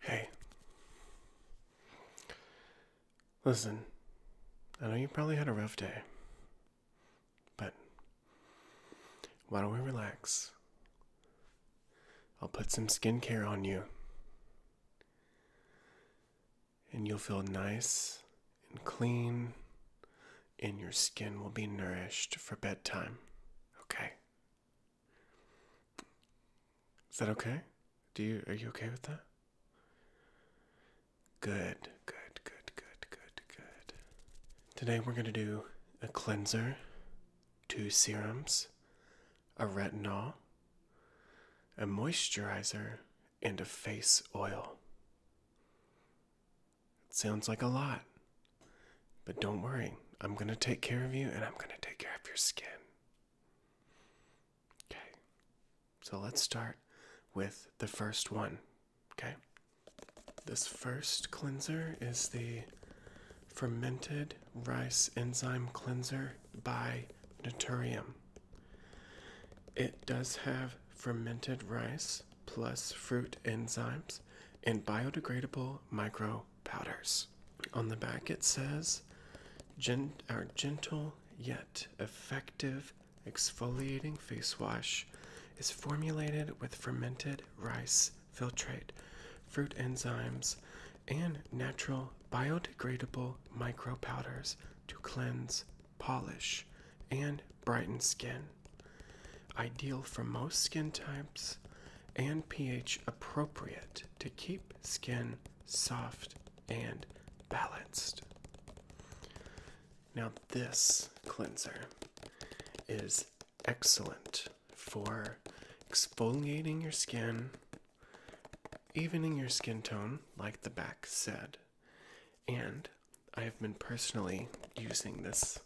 Hey. Listen, I know you probably had a rough day, but why don't we relax? I'll put some skincare on you, and you'll feel nice and clean and your skin will be nourished for bedtime. Okay. Is that okay? Do you are you okay with that? Good, good, good, good, good, good. Today we're gonna do a cleanser, two serums, a retinol, a moisturizer, and a face oil. It sounds like a lot. But don't worry, I'm going to take care of you and I'm going to take care of your skin. Okay. So let's start with the first one. Okay. This first cleanser is the fermented rice enzyme cleanser by Naturium. It does have fermented rice, plus fruit enzymes and biodegradable micro powders. On the back it says Gent our gentle yet effective exfoliating face wash is formulated with fermented rice filtrate, fruit enzymes, and natural biodegradable micro powders to cleanse, polish, and brighten skin. Ideal for most skin types and pH appropriate to keep skin soft and balanced. Now, this cleanser is excellent for exfoliating your skin, evening your skin tone, like the back said, and I've been personally using this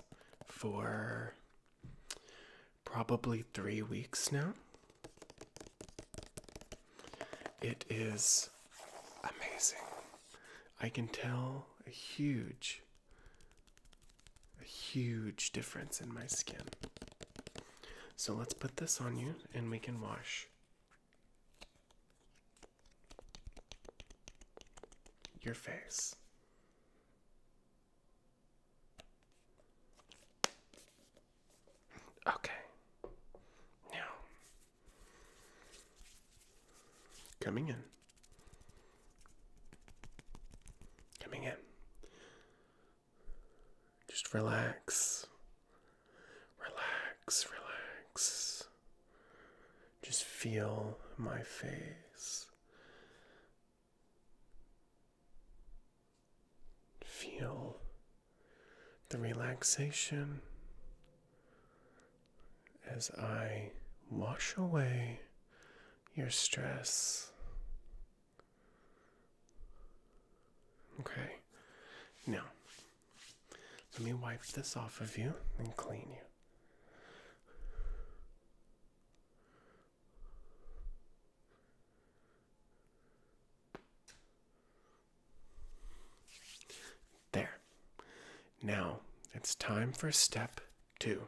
for probably three weeks now. It is amazing. I can tell a huge, a huge difference in my skin. So let's put this on you and we can wash. Your face. Okay. Now, coming in. Coming in. Just relax. Relax, relax. Just feel my face. Feel the relaxation as I wash away your stress. Okay, now let me wipe this off of you and clean you. There. Now it's time for step two.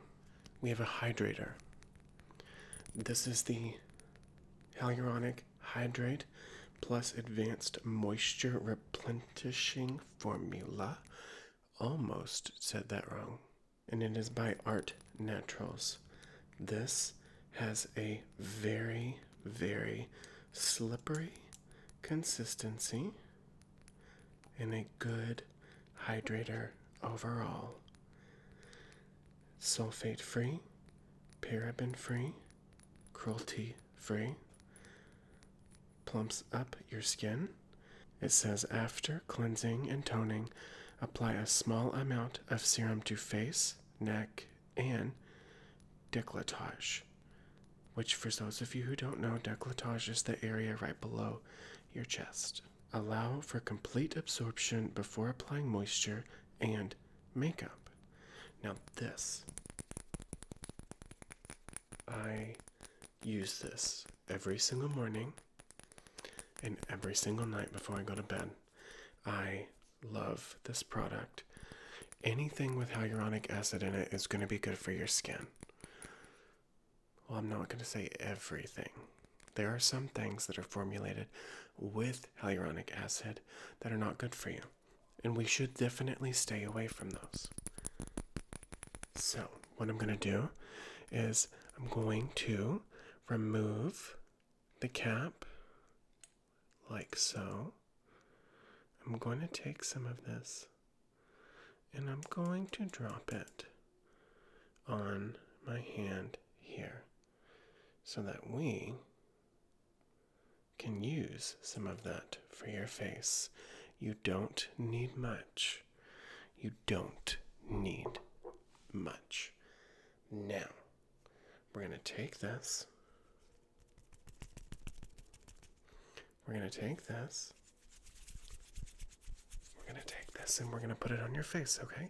We have a hydrator. This is the hyaluronic hydrate plus advanced moisture replenishing formula. Almost said that wrong. And it is by Art Naturals. This has a very, very slippery consistency and a good hydrator overall. Sulfate free, paraben free, cruelty free. Plumps up your skin. It says after cleansing and toning, apply a small amount of serum to face, neck, and decolletage. Which, for those of you who don't know, decolletage is the area right below your chest. Allow for complete absorption before applying moisture and makeup. Now, this. I use this every single morning and every single night before I go to bed. I love this product. Anything with hyaluronic acid in it is going to be good for your skin. Well, I'm not going to say everything. There are some things that are formulated with hyaluronic acid that are not good for you and we should definitely stay away from those. So, what I'm going to do is I'm going to remove the cap like so. I'm going to take some of this and I'm going to drop it on my hand here so that we can use some of that for your face. You don't need much. You don't need much. Now, we're going to take this. We're going to take this. We're going to take this and we're going to put it on your face, okay?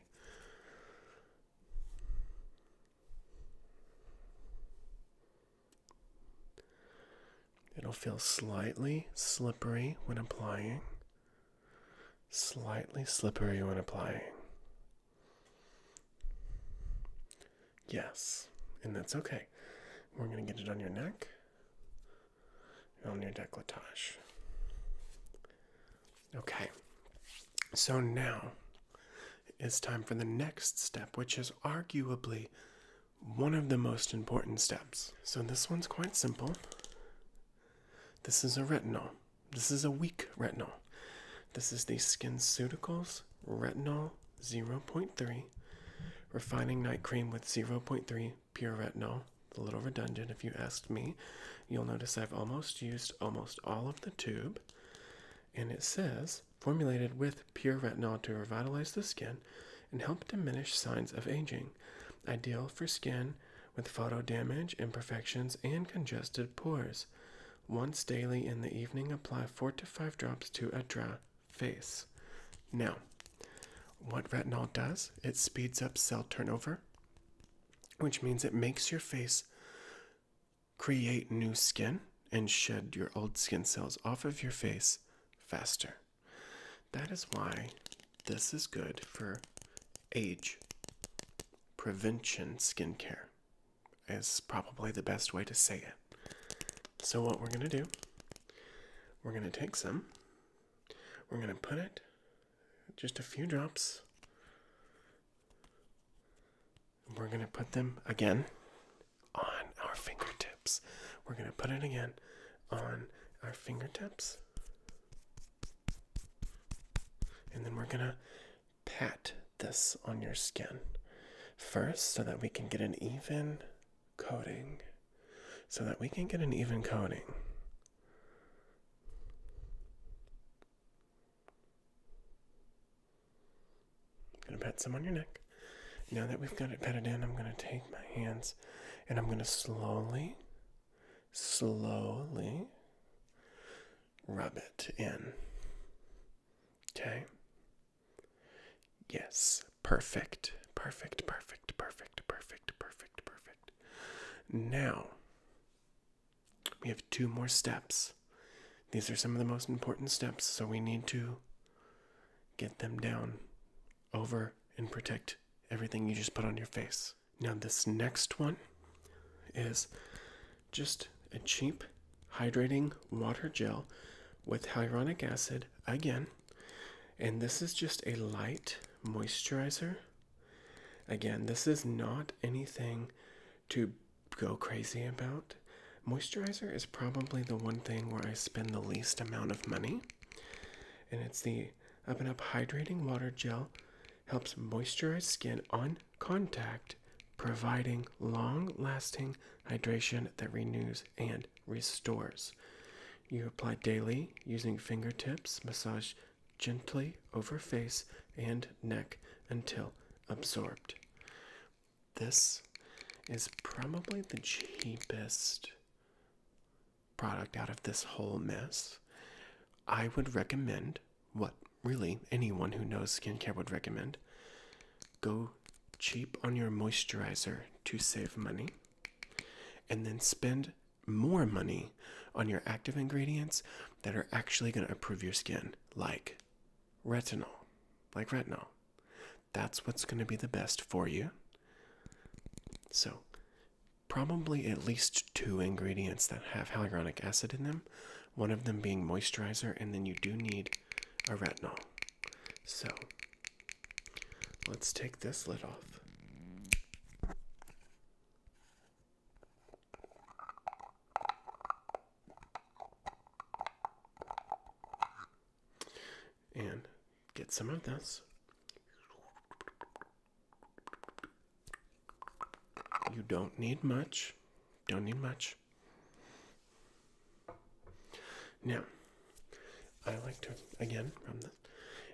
It'll feel slightly slippery when applying. Slightly slippery when applying. Yes, and that's okay. We're going to get it on your neck, on your decolletage. Okay, so now it's time for the next step, which is arguably one of the most important steps. So this one's quite simple. This is a retinol. This is a weak retinol. This is the SkinCeuticals Retinol 0.3 Refining Night Cream with 0.3 pure retinol. A little redundant if you asked me. You'll notice I've almost used almost all of the tube. And it says, formulated with pure retinol to revitalize the skin and help diminish signs of aging. Ideal for skin with photo damage, imperfections, and congested pores. Once daily in the evening, apply 4 to 5 drops to a dry face. Now, what retinol does, it speeds up cell turnover, which means it makes your face create new skin and shed your old skin cells off of your face faster. That is why this is good for age prevention skincare, is probably the best way to say it. So, what we're going to do, we're going to take some, we're going to put it just a few drops we're going to put them again on our fingertips. We're going to put it again on our fingertips. And then we're going to pat this on your skin first so that we can get an even coating. So that we can get an even coating. I'm gonna pat some on your neck. Now that we've got it patted in, I'm gonna take my hands and I'm gonna slowly, slowly rub it in. Okay? Yes, perfect, perfect, perfect, perfect, perfect, perfect, perfect. Now, we have two more steps. These are some of the most important steps, so we need to get them down over and protect everything you just put on your face. Now, this next one is just a cheap hydrating water gel with hyaluronic acid again. And this is just a light moisturizer Again, this is not anything to go crazy about. Moisturizer is probably the one thing where I spend the least amount of money, and it's the Up and Up Hydrating Water Gel. Helps moisturize skin on contact, providing long lasting hydration that renews and restores. You apply daily using fingertips, massage gently over face and neck until absorbed. This is probably the cheapest product out of this whole mess. I would recommend what really anyone who knows skincare would recommend go cheap on your moisturizer to save money and then spend more money on your active ingredients that are actually going to improve your skin, like retinol. Like retinol. That's what's going to be the best for you. So, probably at least two ingredients that have hyaluronic acid in them, one of them being moisturizer, and then you do need a retinol. So, Let's take this lid off. And get some of this. You don't need much. Don't need much. Now, I like to again and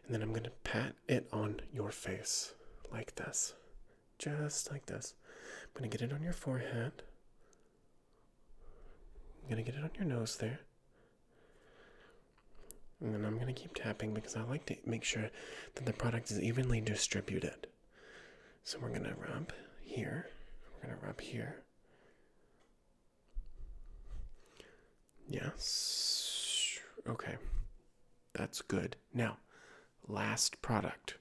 then I'm gonna pat it on your face like this, just like this. I'm gonna get it on your forehead. I'm gonna get it on your nose there. And then I'm gonna keep tapping because I like to make sure that the product is evenly distributed. So we're gonna rub here, we're gonna rub here, Yes. Okay. That's good. Now, last product.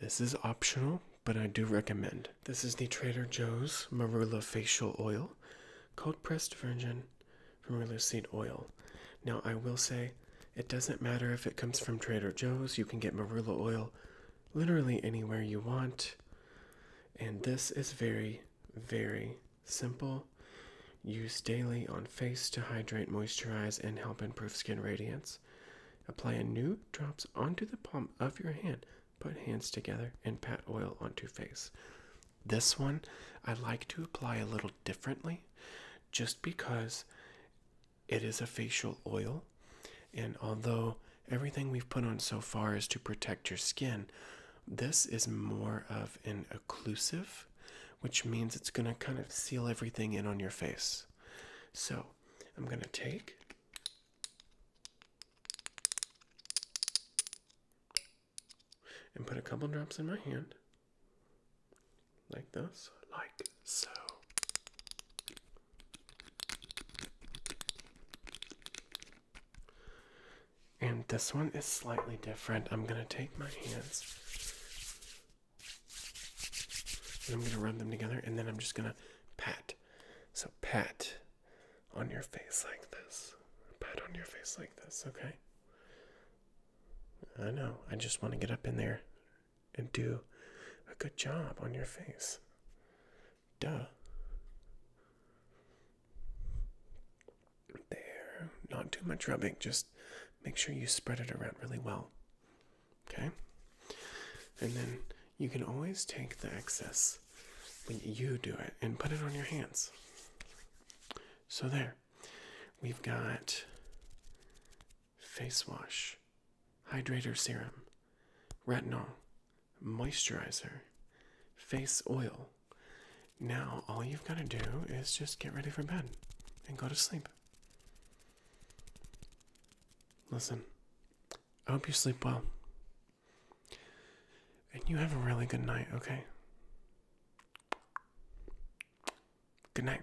This is optional, but I do recommend. This is the Trader Joe's Marula Facial Oil, cold pressed virgin marula seed oil. Now, I will say it doesn't matter if it comes from Trader Joe's, you can get marula oil literally anywhere you want. And this is very, very Simple. Use daily on face to hydrate, moisturize, and help improve skin radiance. Apply a new drops onto the palm of your hand. Put hands together and pat oil onto face. This one I like to apply a little differently just because it is a facial oil. And although everything we've put on so far is to protect your skin. This is more of an occlusive, which means it's going to kind of seal everything in on your face. So I'm going to take. And put a couple drops in my hand, like this, like so. And this one is slightly different. I'm going to take my hands and I'm going to rub them together and then I'm just going to pat. So, pat on your face like this. Pat on your face like this, okay? I know. I just want to get up in there and do a good job on your face. Duh. There. Not too much rubbing, just make sure you spread it around really well. Okay? And then you can always take the excess when you do it and put it on your hands. So there. We've got face wash, hydrator serum, retinol, moisturizer, face oil. Now, all you've got to do is just get ready for bed and go to sleep. Listen, I hope you sleep well. And you have a really good night, okay? Good night.